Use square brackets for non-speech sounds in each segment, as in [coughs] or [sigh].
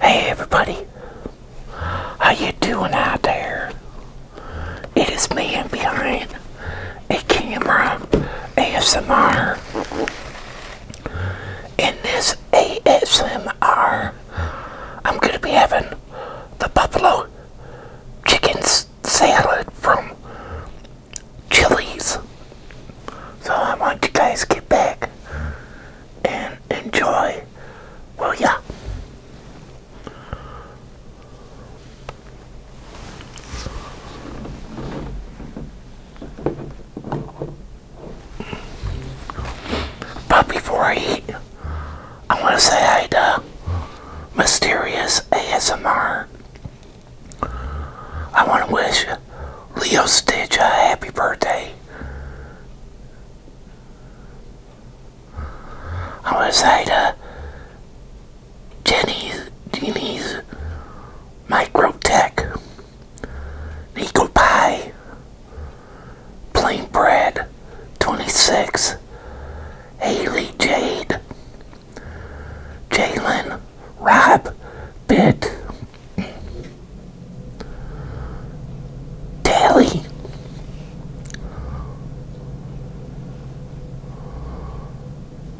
Hey everybody, how you doing out there? It is me behind a camera ASMR. In this ASMR, I'm going to be having the buffalo chicken salad from Chili's. So I want you guys to get back and enjoy, Well, yeah. But before I eat, I want to say hi to Mysterious ASMR. I want to wish you. Leo Stitch, a happy birthday. I want to say to Jenny's, Jenny's Microtech, Nico Pie, Plain Bread, 26, Haley Jade, Jalen, Rap, Bit Daily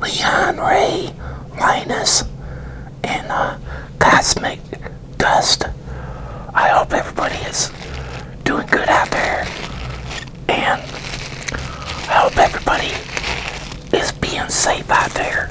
Leon Ray Linus and Cosmic Dust. I hope everybody is doing good out there and I hope everybody is being safe out there.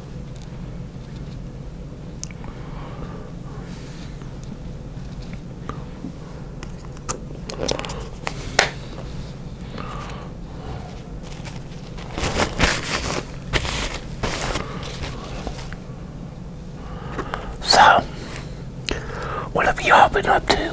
So, what have y'all been up to?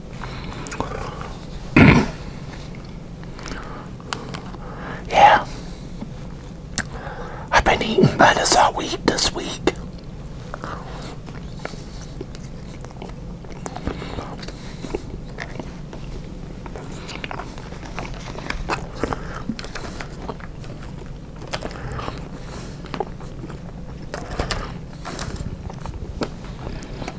[coughs] yeah. I've been eating lettuce all week this week.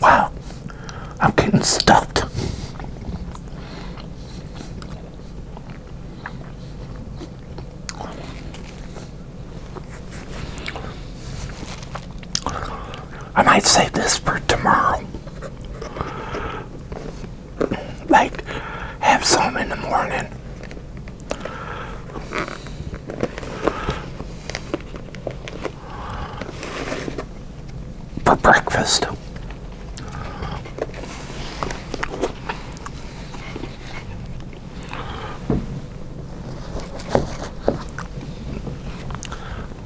Wow, I'm getting stuffed. I might save this for tomorrow like have some in the morning. For breakfast.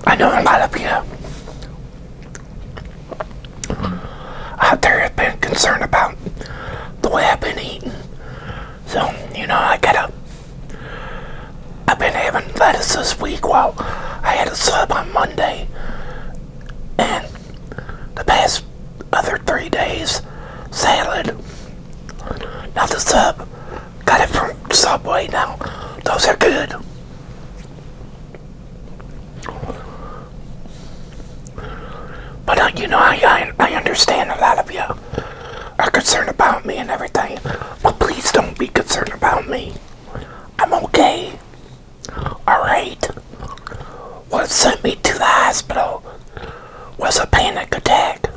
I know a lot of you i have been concerned about the way I've been eating. So, you know, I gotta. have been having lettuce this week while I had a sub on Monday. And the past other three days, salad. not the sub, got it from Subway now. Those are good. But uh, you know, I, I I understand a lot of you are concerned about me and everything. But please don't be concerned about me. I'm okay. All right. What sent me to the hospital was a panic attack.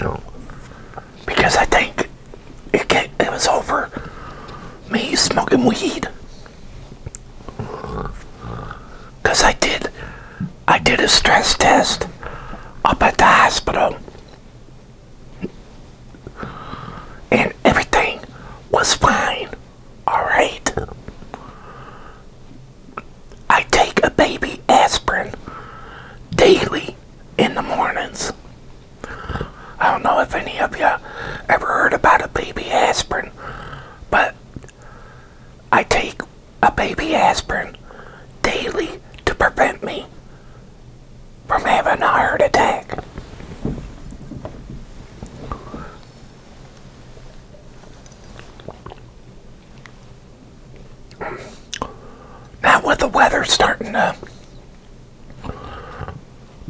No because I think it, it was over me smoking weed. Cause I did, I did a stress test up at the hospital, and everything was fine. All right. I take a baby aspirin daily in the mornings. I don't know if any of you ever heard about a baby aspirin, but I take a baby aspirin daily to prevent me from having a heart attack. Now, with the weather starting to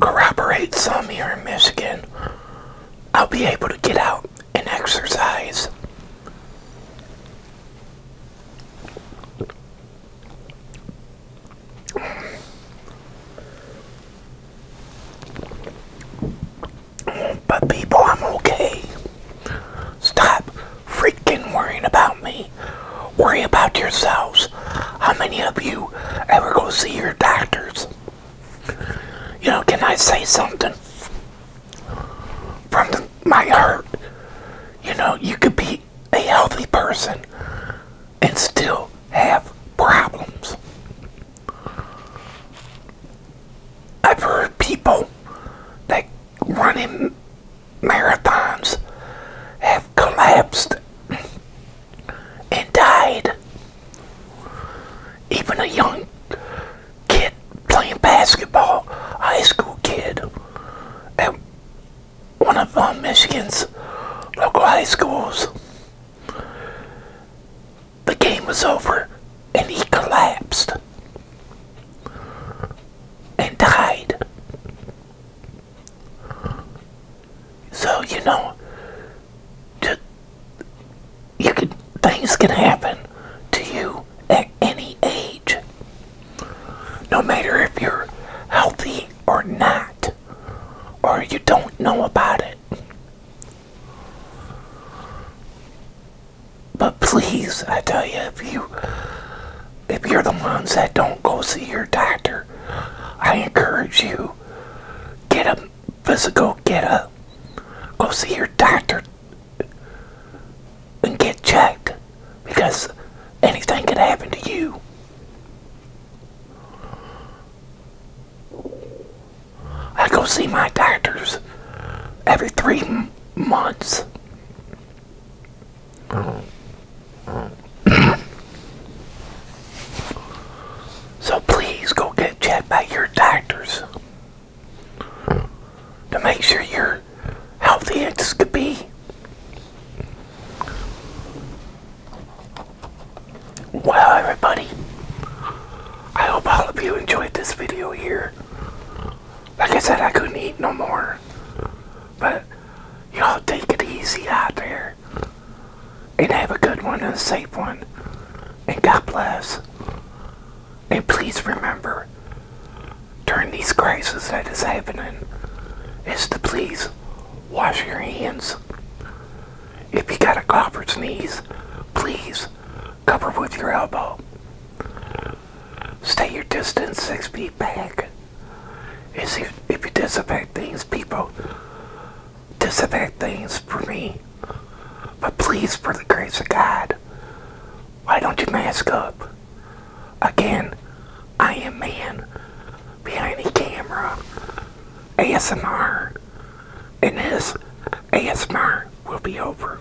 corroborate some here in Michigan, I'll be able to get out and exercise. But people, I'm okay. Stop freaking worrying about me. Worry about yourselves. How many of you ever go see your doctors? You know, can I say something from my heart? You know, you could be a healthy person and still have problems. I've heard people that running marathons have collapsed and died. Even a young kid playing basketball, high school kid, at one of uh, Michigan's local high schools, the game was over and he collapsed and died. So, you know, you can, things can happen to you at any age, no matter if you're healthy or not, or you don't know about it. But please, I tell you, if you if you're the ones that don't go see your doctor, I encourage you get a physical, get a go see your doctor and get checked because anything could happen to you. I go see my doctors every three months so please go get checked by your doctors to make sure you're healthy as could be. Well, everybody, I hope all of you enjoyed this video here like I said, I couldn't eat no more. But y'all take it easy out there. And have a good one and a safe one. And God bless. And please remember, during these crises that is happening, is to please wash your hands. If you got a cough or sneeze, please cover with your elbow. Stay your distance six feet back. If you, if things, people, disinfect things for me. But please, for the grace of God, why don't you mask up? Again, I am man behind the camera, ASMR, and this ASMR will be over.